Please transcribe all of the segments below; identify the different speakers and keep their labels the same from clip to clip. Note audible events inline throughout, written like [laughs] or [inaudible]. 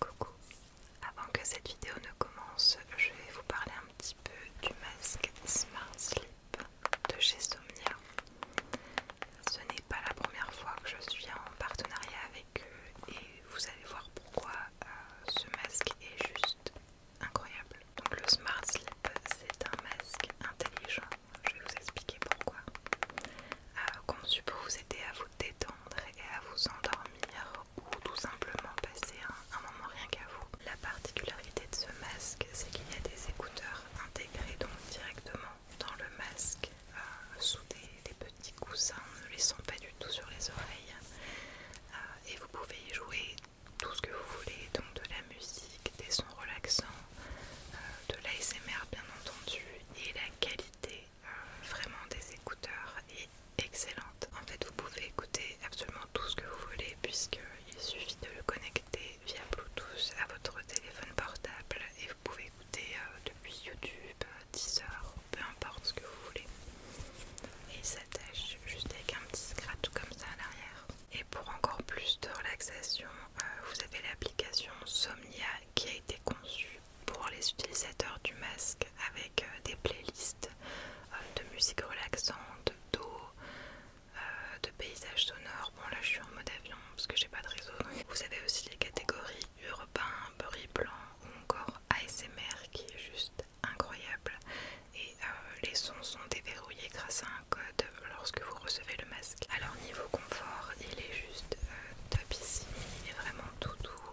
Speaker 1: Coucou, avant que cette vidéo ne commence, je vais vous parler un petit peu du masque Smart Sleep de chez Somnia. Ce n'est pas la première fois que je suis en partenariat avec eux et vous allez voir pourquoi euh, ce masque est juste incroyable. Donc le Smart Sleep c'est un masque intelligent, je vais vous expliquer pourquoi. Euh, conçu pour vous aider à vous détendre et à vous endormir ou tout simplement passer un, moment rien qu'à vous. La particularité de ce masque, c'est qu'il y a des écouteurs intégrés donc directement dans le masque euh, sous des, petits coussins, ne les sont pas du tout sur les oreilles euh, et vous pouvez y jouer tout ce que vous voulez, donc de la musique, des sons relaxants, euh, de l'ASMR bien entendu et la qualité vraiment des écouteurs et excellente. En fait, vous pouvez écouter absolument tout ce que vous voulez puisqu'il suffit de le connecter via Bluetooth à votre téléphone portable et vous pouvez écouter euh, depuis YouTube, heures, peu importe ce que vous voulez. Et il s'attache juste avec un petit scratch comme ça à l'arrière. Et pour encore plus de relaxation, euh, vous avez l'application Somnia qui a été conçue pour les utilisateurs du masque avec euh, des playlists euh, de musique relaxante, d'eau, euh, de paysages sonores. Bon là je suis en mode avion parce que j'ai pas de réseau. Vous avez aussi les catégories urbain, bruit blanc ou encore ASMR qui est juste incroyable. Et les sons sont déverrouillés grâce à un code lorsque vous recevez le masque. Alors niveau confort, il est juste top ici. Il est vraiment tout doux,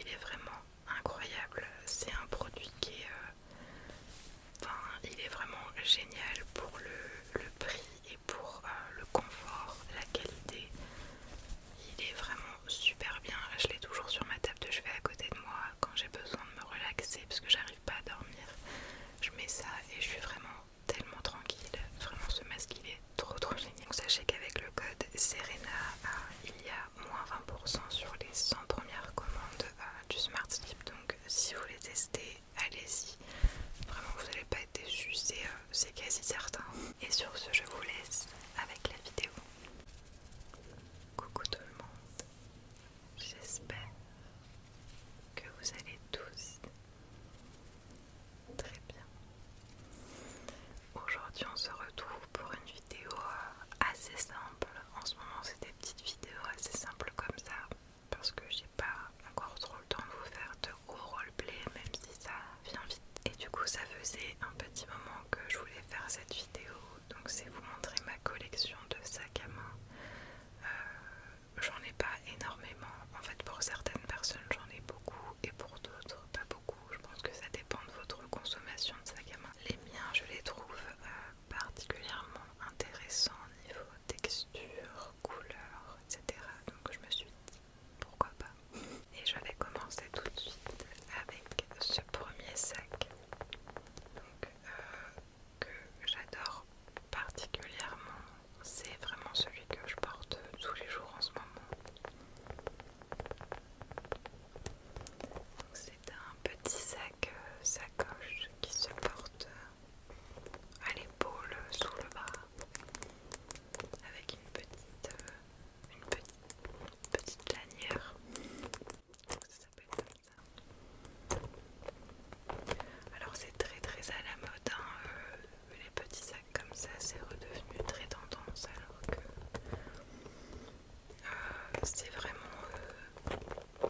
Speaker 1: il est vraiment incroyable. C'est un produit qui est... Euh, enfin, il est vraiment génial pour le, prix et pour euh, le confort, la qualité. Il est vraiment super bien. Je l'ai toujours sur ma table de chevet à côté de moi quand j'ai besoin de me relaxer parce que j'arrive pas à dormir. Je mets ça et je suis vraiment tellement tranquille. Vraiment, ce masque, il est trop trop génial. sachez qu'avec le code Serena, euh, il y a moins 20% sur les 100 premières commandes euh, du Smart Donc si vous les tester, allez-y. Vraiment, vous n'allez pas être déçus, euh, c'est quasi certain. Et sur ce, je vous laisse avec la vidéo. Coucou tout le monde. J'espère que vous allez tous Très bien. Aujourd'hui, on se retrouve pour une vidéo euh, assez simple. En ce moment, c'est des petites vidéos assez simples comme ça parce que j'ai pas encore trop le temps de vous faire de gros roleplay, même si ça vient vite. Et du coup, ça faisait un petit moment que je voulais faire cette vidéo. Donc, c'est vous montrer ma collection de sacs à main. Euh, j'en ai pas énormément. En fait, pour certaines personnes, j'en ai beaucoup et pour d'autres, pas beaucoup je pense que ça dépend de votre consommation de sac à main. Les miens, je les trouve euh, particulièrement intéressants au niveau texture, couleur, etc. Donc je me suis dit pourquoi pas. Et je vais commencer tout de suite avec ce premier sac. Euh, que j'adore particulièrement, c'est vraiment celui que je porte tous les jours en ce moment. C'est un petit sac euh, sacoche qui se porte euh, à l'épaule sous le bras avec une petite euh, petite, lanière. Ça s'appelle comme ça. Alors c'est très très à la mode hein, les petits sacs comme ça, c'est redevenu très tendance alors que euh, c'est vraiment 2005-2006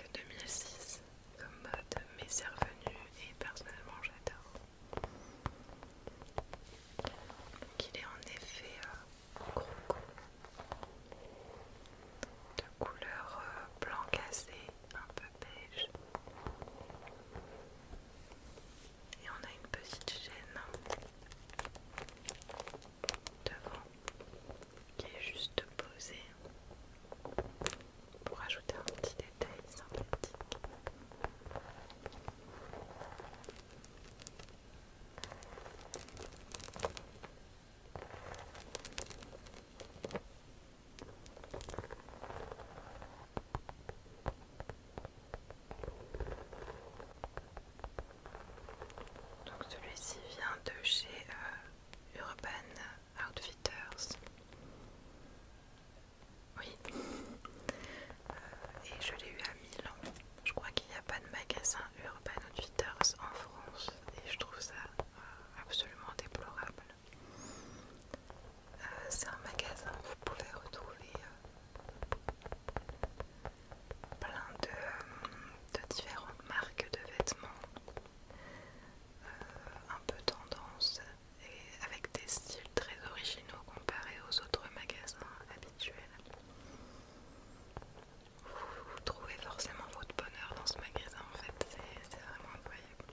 Speaker 1: euh, comme mode, mais c'est revenu et personnellement j'adore. Donc il est en effet euh, gros de couleur blanc cassé, un peu beige et on a une petite chaîne devant qui est juste posée pour ajouter un petit détail sympathique. Donc celui-ci vient de chez euh, Urban Outfitters. Oui. Euh, et je l'ai eu à Milan. Je crois qu'il n'y a pas de magasin Urban Outfitters en France. Et je trouve ça euh, absolument déplorable. Euh, c'est un magasin où vous pouvez retrouver euh, plein de, différentes marques de vêtements, euh, un peu tendance et avec des styles très originaux comparés aux autres magasins habituels. Vous, vous trouvez forcément votre bonheur dans ce magasin en fait, c'est vraiment incroyable.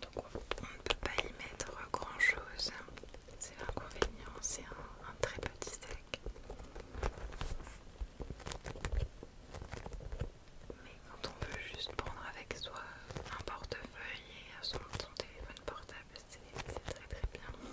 Speaker 1: Donc on ne peut pas y mettre grand chose, c'est l'inconvénient, c'est un, très petit sac. Mais quand on veut juste prendre avec soi un portefeuille et son téléphone portable, c'est très très bien.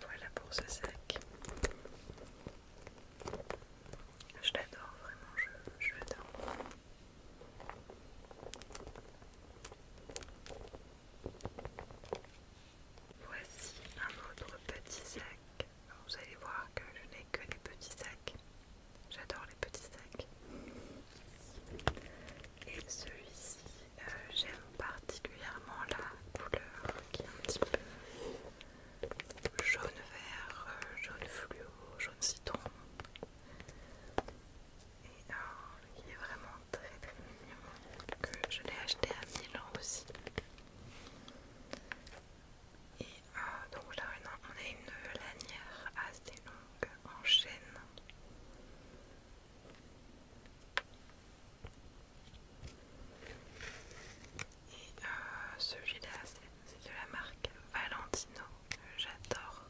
Speaker 1: Voilà pour ce sac. Je l'adore vraiment, je, je l'adore. Voici un autre petit sac. Vous allez voir que je n'ai que des petits sacs. J'adore les petits sacs. Et celui-ci, euh, j'aime particulièrement la couleur qui est un petit peu jaune vert, euh, jaune fluo, jaune citron. Et qui euh, il est vraiment très très mignon. Que je l'ai acheté à Milan aussi. Et euh, donc là, on a une lanière assez longue en chaîne. Et euh, celui-là, c'est de la marque Valentino. J'adore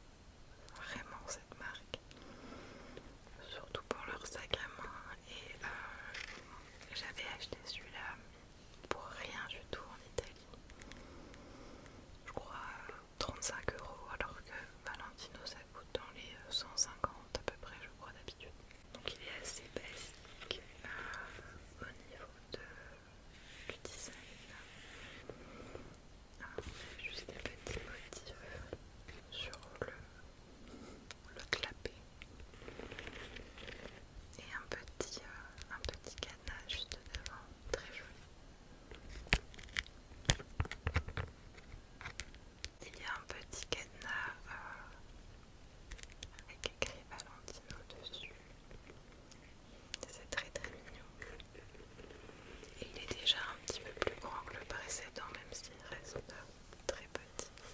Speaker 1: vraiment cette marque. Surtout pour leur sac à main et euh, j'avais acheté celui-là pour rien du tout en Italie. Je crois 35 euh, euros alors que Valentino ça coûte dans les 150 euh, à peu près je crois d'habitude. Donc il est assez basique au niveau du design. Je ah, juste des motifs sur le le clapet et un petit, euh, un petit cadenas juste devant, très joli. Il y a un petit cadenas euh, avec écrit au dessus. C'est très très mignon. Et il est déjà un petit peu plus grand que le précédent, même s'il reste très petit.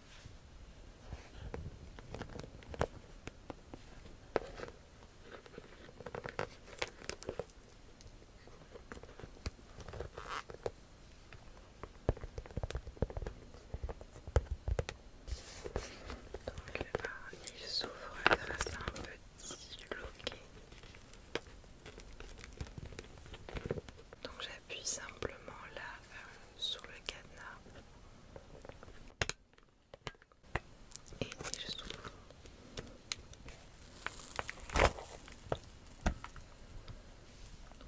Speaker 1: Donc là, euh, ah, il s'ouvre grâce à un petit loquet. Donc j'appuie simplement là sous euh, sur le cadenas et je souffle.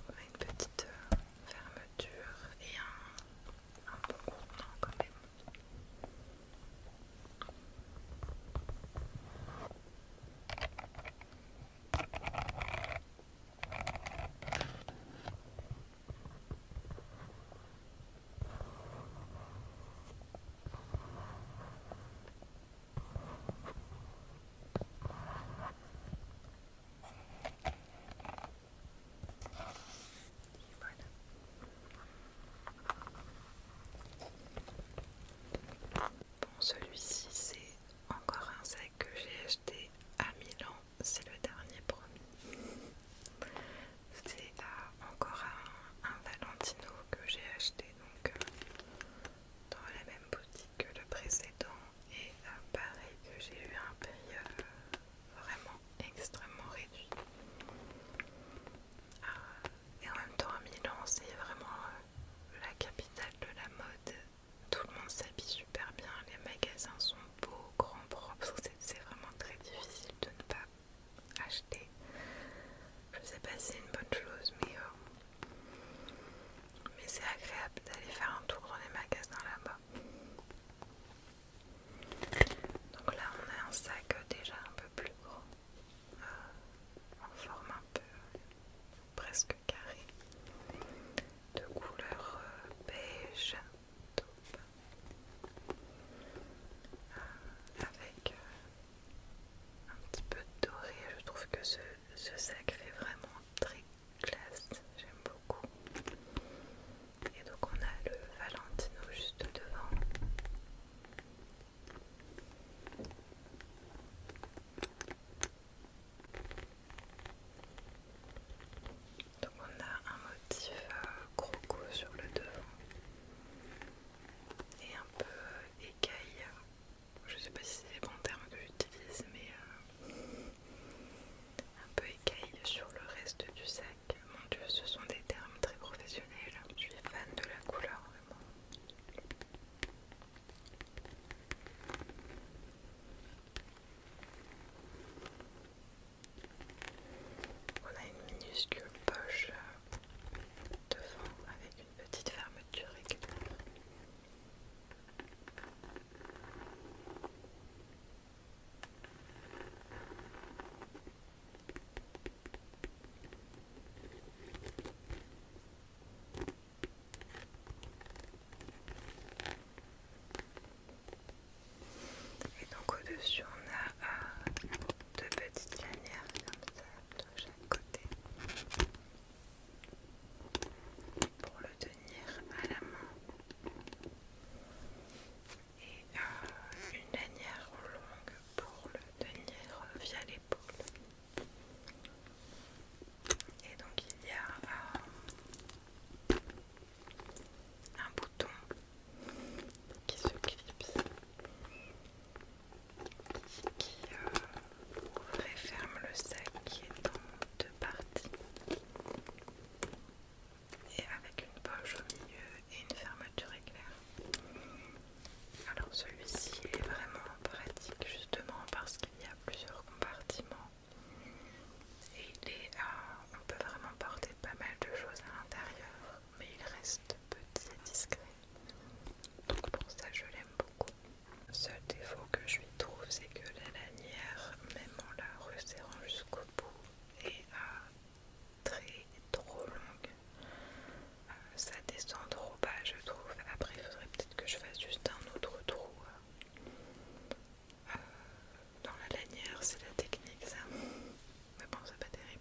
Speaker 1: une petite euh, fermeture et un, un bon contenant quand même. Bon, celui-ci c'est encore un sac que j'ai acheté à Milan, c'est le dernier promis. C'est encore un, Valentino que j'ai acheté donc euh, dans la même boutique que le précédent et euh, pareil que j'ai eu un prix euh, vraiment extrêmement réduit. Ah, et en même temps à Milan c'est vraiment la capitale de la mode tout le monde s'habille super bien, les magasins sont beaux, grands, propres. C'est vraiment très difficile de ne pas acheter. Je sais pas si c'est une bonne chose, mais, euh, mais c'est agréable d'aller faire un tour dans les magasins là-bas. Donc là, on a un sac euh, déjà un peu plus gros, euh, en forme un peu presque carré de couleur euh, beige taupe euh, avec euh, un petit peu de doré. Je trouve que ce, ce sac fait vraiment très classe. J'aime beaucoup. Et donc on a le Valentino juste devant. Donc on a un motif euh, croco sur le devant et un peu euh, écaille. Je sais pas si c'est les bons termes que j'utilise, mais euh, un peu écaille sur le reste du sac. Mon dieu, ce sont des termes très professionnels. Je suis fan de la couleur vraiment. On a une minuscule poche euh, devant avec une petite fermeture éclair. Et donc au-dessus on a euh, deux petites lanières comme ça de chaque côté pour le tenir à la main. Et euh, une lanière longue pour le tenir euh, via l'épaule. Et donc il y a euh, un bouton qui se clipse, qui euh, ferme le sac qui est en deux parties. Et avec une poche au milieu et une fermeture éclair. Alors celui-ci est vraiment pratique justement parce qu'il y a plusieurs compartiments et il est, on peut vraiment porter pas mal de choses à l'intérieur, mais il reste petit et discret. Donc pour ça, je l'aime beaucoup. Le seul défaut que je lui trouve, c'est que la lanière, même en la resserrant jusqu'au bout, est euh, très trop longue. Euh, ça descend trop. Oh, bah je trouve. Après il faudrait peut-être que je fasse juste un autre trou euh, euh, dans la lanière, c'est la technique ça. Mais bon c'est pas terrible.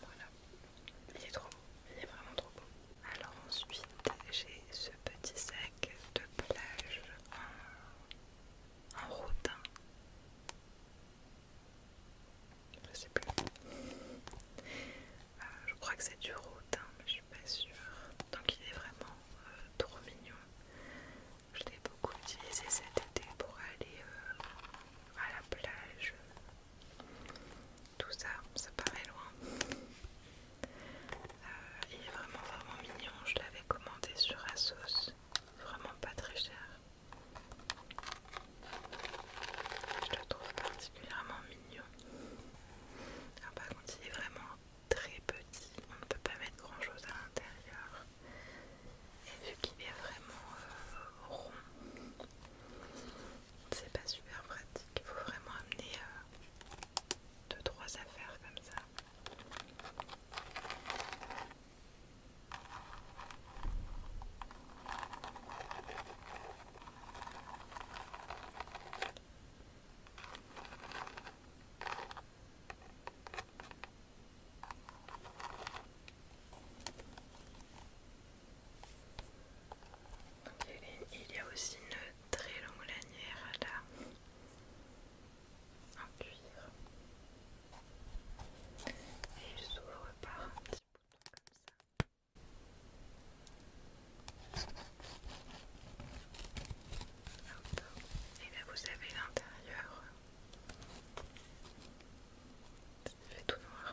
Speaker 1: Voilà, il est trop beau, il est vraiment trop beau. Alors ensuite, j'ai ce petit sac de plage en, en rotin. Hein. Je sais plus. Euh, je crois que c'est du road, hein, mais je suis pas sûre. Donc il est vraiment euh, trop mignon. Je l'ai beaucoup utilisé cet été pour aller euh, à la plage. Tout ça, ça paraît loin. il est vraiment vraiment mignon. Je l'avais commandé sur Asos. Vraiment pas très cher. Je le trouve particulièrement mignon par contre, il est vraiment très petit, on ne peut pas mettre grand chose à l'intérieur. Et vu qu'il est vraiment euh, rond, c'est pas super pratique. Il faut vraiment amener 2 euh, 3 trois affaires comme ça. Il y, a aussi une très longue lanière là en cuir et il s'ouvre par un petit bouton comme ça. Et là vous avez l'intérieur. C'est fait tout noir.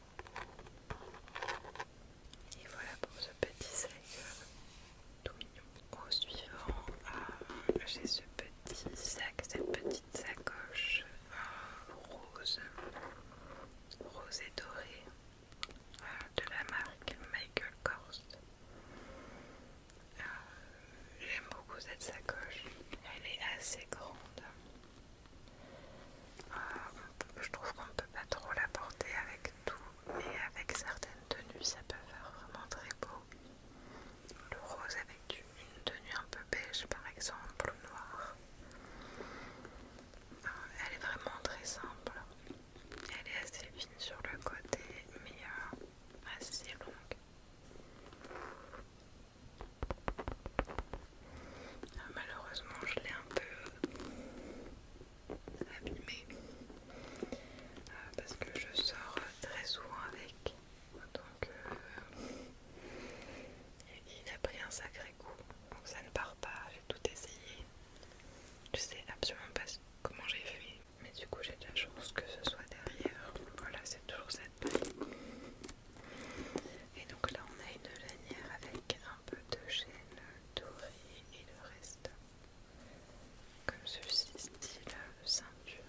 Speaker 1: Et voilà pour ce petit sac euh, tout mignon. Au suivant, ah, j'ai ce petit sac, cette petite sacoche euh, rose, rose et dorée euh, de la marque Michael Kors. J'aime beaucoup cette sacoche, elle est assez grande. Euh, je trouve qu'on ne peut pas trop la porter avec tout, mais avec certaines tenues ça peut faire vraiment très beau. Le rose avec une tenue un peu beige par exemple, ou noir. Euh, elle est vraiment très simple. Elle est assez fine sur le côté, mais euh, assez longue. Ah, malheureusement, je l'ai un peu euh, abîmé ah, parce que je sors très souvent avec. Donc, euh, il a pris un sacré coup. Donc, ça ne part pas. J'ai tout essayé. Je sais absolument pas comment j'ai fait. Mais du coup, j'ai de la chance que ce soit derrière. Voilà, c'est toujours cette paille. Et donc là, on a une lanière avec un peu de chaîne dorée et le reste comme ceci, style ceinture.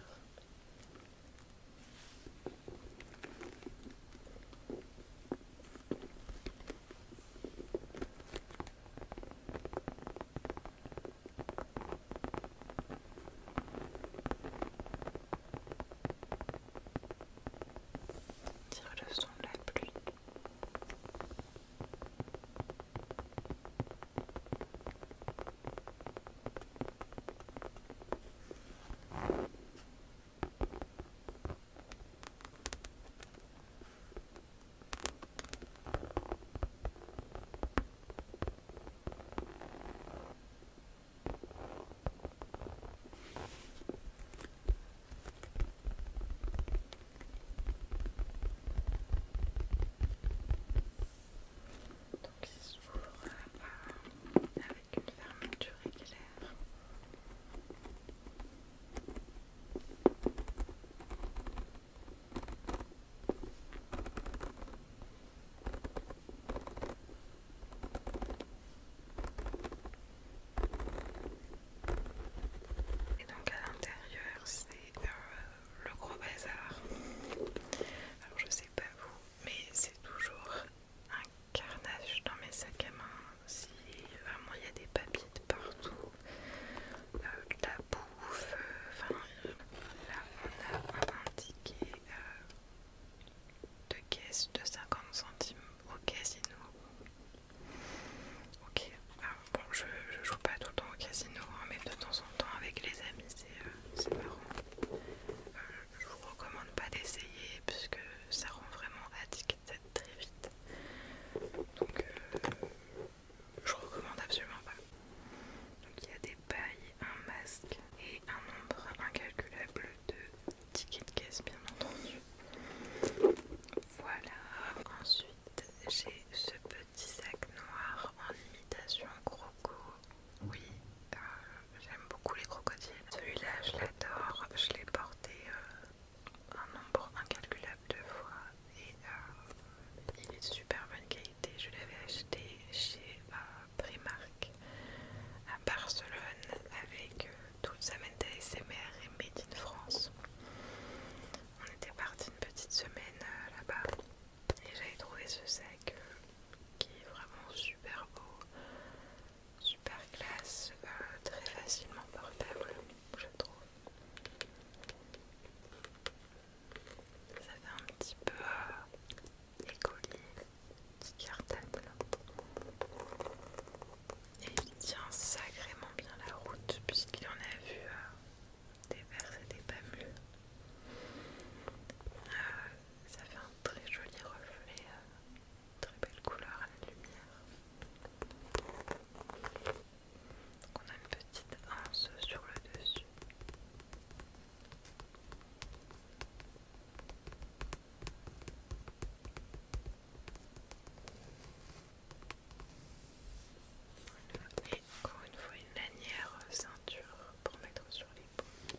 Speaker 1: Tire le son de la pluie. Donc il s'ouvre bas avec une fermeture régulière. Et donc à l'intérieur c'est euh, le gros bazar. Alors je sais pas vous, mais c'est toujours un carnage dans mes sacs à main. Si vraiment il y a des papiers de partout, de euh, la bouffe, euh, enfin là on a indiqué de caisse de 50 centimes au casino. Ok, ah, je, joue pas tout le temps au casino, hein, mais de temps en temps avec les amis, c'est euh, marrant. Euh, je vous recommande pas d'essayer puisque ça rend vraiment addict très vite. Donc, euh, je recommande absolument pas. Donc, il y a des pailles, un masque et un nombre incalculable de ticket de caisse bien entendu. Voilà. Ensuite j'ai ce petit sac noir en imitation croco. Oui, euh, j'aime beaucoup les crocodiles. Celui-là je l'adore. Je l'ai porté euh, un nombre incalculable de fois. Et euh, il est de super bonne qualité. Je l'avais acheté chez Primark à Barcelone avec euh, toute sa ASMR et Made in France. On était parti une petite semaine euh, là-bas et j'avais trouvé ce sac euh, qui est vraiment super beau, super classe, très facilement portable, je trouve. Ça fait un petit peu les colliers Et il tient sacrément bien la route puisqu'il en a vu euh, des vers et des pamules. Euh, ça fait un très joli reflet, euh, très belle couleur à la lumière. on a une petite anse sur le dessus. Et encore une fois une lanière euh, ceinture pour mettre sur les peaux.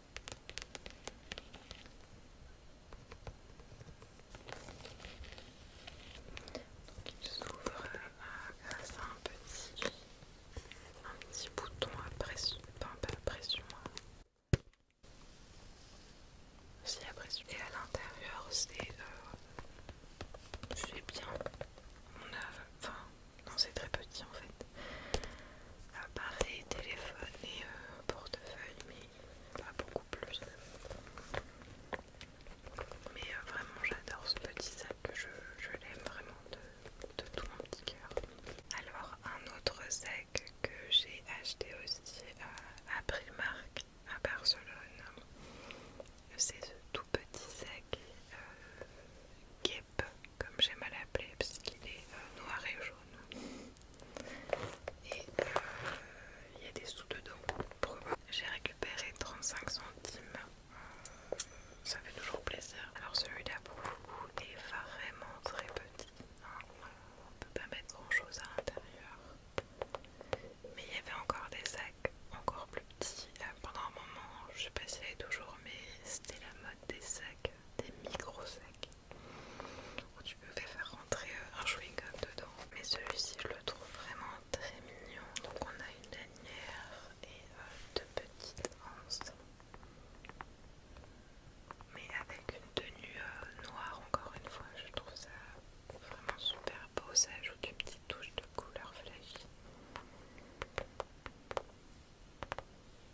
Speaker 1: il s'ouvre grâce euh, à un petit, un petit bouton à pression, enfin pas à pression, C'est hein. à pression. Et à l'intérieur c'est euh, bien, on a, enfin non, c'est très petit en fait. appareil téléphone et euh, portefeuille, mais pas beaucoup plus. Mais euh, vraiment, j'adore ce petit sac, je, je l'aime vraiment de, tout mon petit cœur. Alors, un autre sac que j'ai acheté aussi à Primark à Barcelone, c'est ce tout petit sac euh, comme j'aime à l'appeler, qu'il est euh, noir et jaune. Et euh, il y a des sous dedans. J'ai récupéré 35 centimes. Euh, ça fait toujours plaisir. Alors celui-là pour est vraiment très petit. Hein. On ne peut pas mettre grand chose à l'intérieur. Mais il y avait encore des sacs encore plus petits. Pendant un moment, je sais pas si elle toujours, mais c'était la mode des sacs des micro sacs où tu peux faire rentrer euh, un chewing-gum dedans. Mais celui-ci, je le trouve vraiment très mignon. Donc on a une lanière et euh, deux petites anses, mais avec une tenue euh, noire encore une fois. Je trouve ça vraiment super beau. Ça ajoute une petite touche de couleur flashy.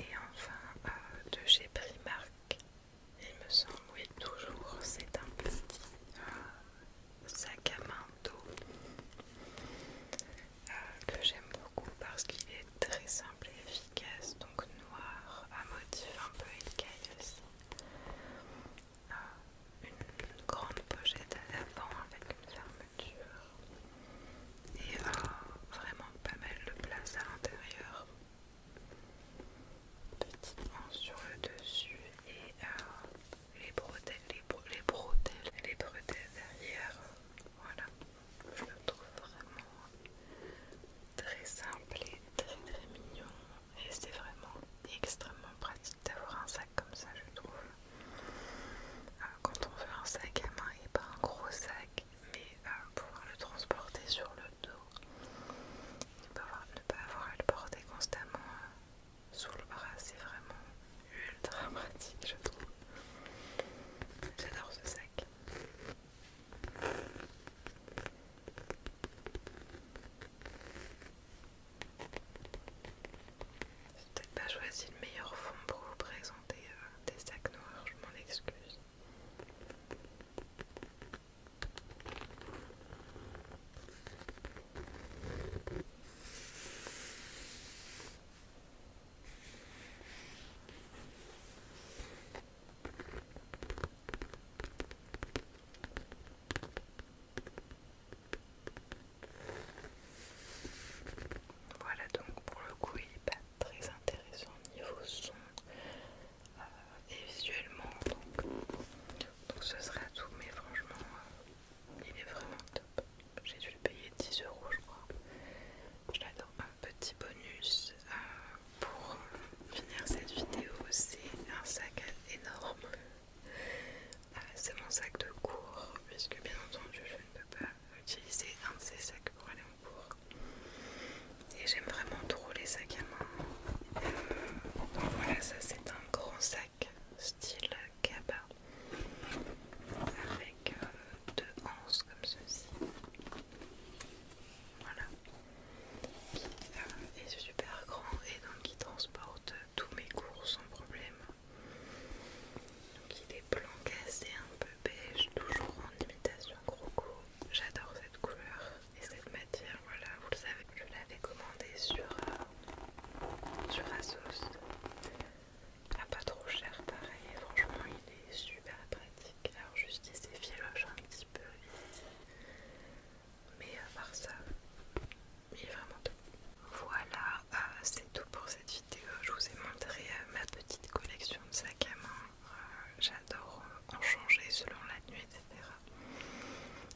Speaker 1: Et enfin euh, de chez Primark, il me semble, oui toujours, c'est un petit euh, sac à main d'eau euh, que j'aime beaucoup parce qu'il est très simple et efficace, donc noir, à motif un peu écaille aussi. une grande pochette à l'avant avec une fermeture et euh, vraiment pas mal de place à l'intérieur. Petite sur le dessus et euh, les bretelles, les, les derrière. Voilà, je le trouve vraiment très simple et très très mignon. Et c'est vraiment extrêmement pratique d'avoir un sac comme ça, je trouve. Euh, quand on veut un sac à main et pas un gros sac mais euh, pouvoir le transporter sur le dos, ne pas avoir, à le porter constamment euh, sous le bras, c'est vraiment ultra [laughs] pratique, je trouve. J'adore ce sac. J'ai peut-être pas choisi le meilleur fond pour vous présenter Hein, euh, des, sacs noirs, je m'en excuse. Voilà donc pour le coup il très intéressant niveau son euh, et visuellement donc, ce sera tout mais franchement euh, il est vraiment top j'ai dû le payer 10 euros je crois Je l'adore. un petit bonus euh, pour finir cette vidéo c'est un sac énorme c'est mon sac de cours puisque bien entendu je ne peux pas utiliser un de ces sacs pour aller en cours. Et j'aime vraiment trop les sacs à main. Euh, voilà, ça c'est un grand sac style Kaba avec euh, deux anses comme ceci. Voilà. Qui euh, est super grand et donc qui transporte tous mes cours sans problème. Donc il est blanc cassé, un peu beige, toujours en imitation croco. J'adore cette couleur et cette matière, voilà, vous le savez, je l'avais commandé sur, euh, sur Asos. Ah, pas trop cher pareil, franchement il est super pratique. Alors juste il s'effiloche un petit peu Mais à part ça, il est vraiment top. Voilà, ah, c'est tout pour cette vidéo. Je vous ai montré euh, ma petite collection de sacs à main. Euh, j'adore en changer selon la nuit, etc.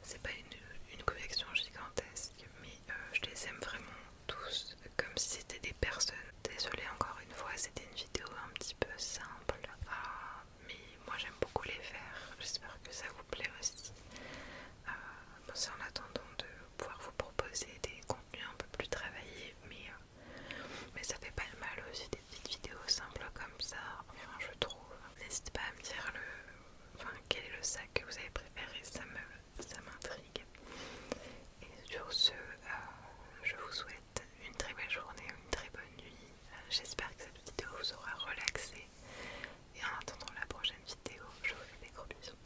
Speaker 1: C'est pas une, collection gigantesque, mais euh, je les aime vraiment tous comme si c'était des personnes. Désolée encore une fois, c'était une vidéo un petit peu simple, ah, mais moi j'aime beaucoup les faire. J'espère que ça vous plaît aussi. c'est en attendant de pouvoir vous proposer des un peu plus travaillé, mais, euh, mais ça fait pas le mal aussi des petites vidéos simples comme ça, enfin je trouve. N'hésitez pas à me dire le, enfin, quel est le sac que vous avez préféré, ça me, ça m'intrigue. Et sur ce, euh, je vous souhaite une très belle journée, une très bonne nuit. Euh, j'espère que cette vidéo vous aura relaxé. Et en attendant la prochaine vidéo, je vous fais des gros bisous.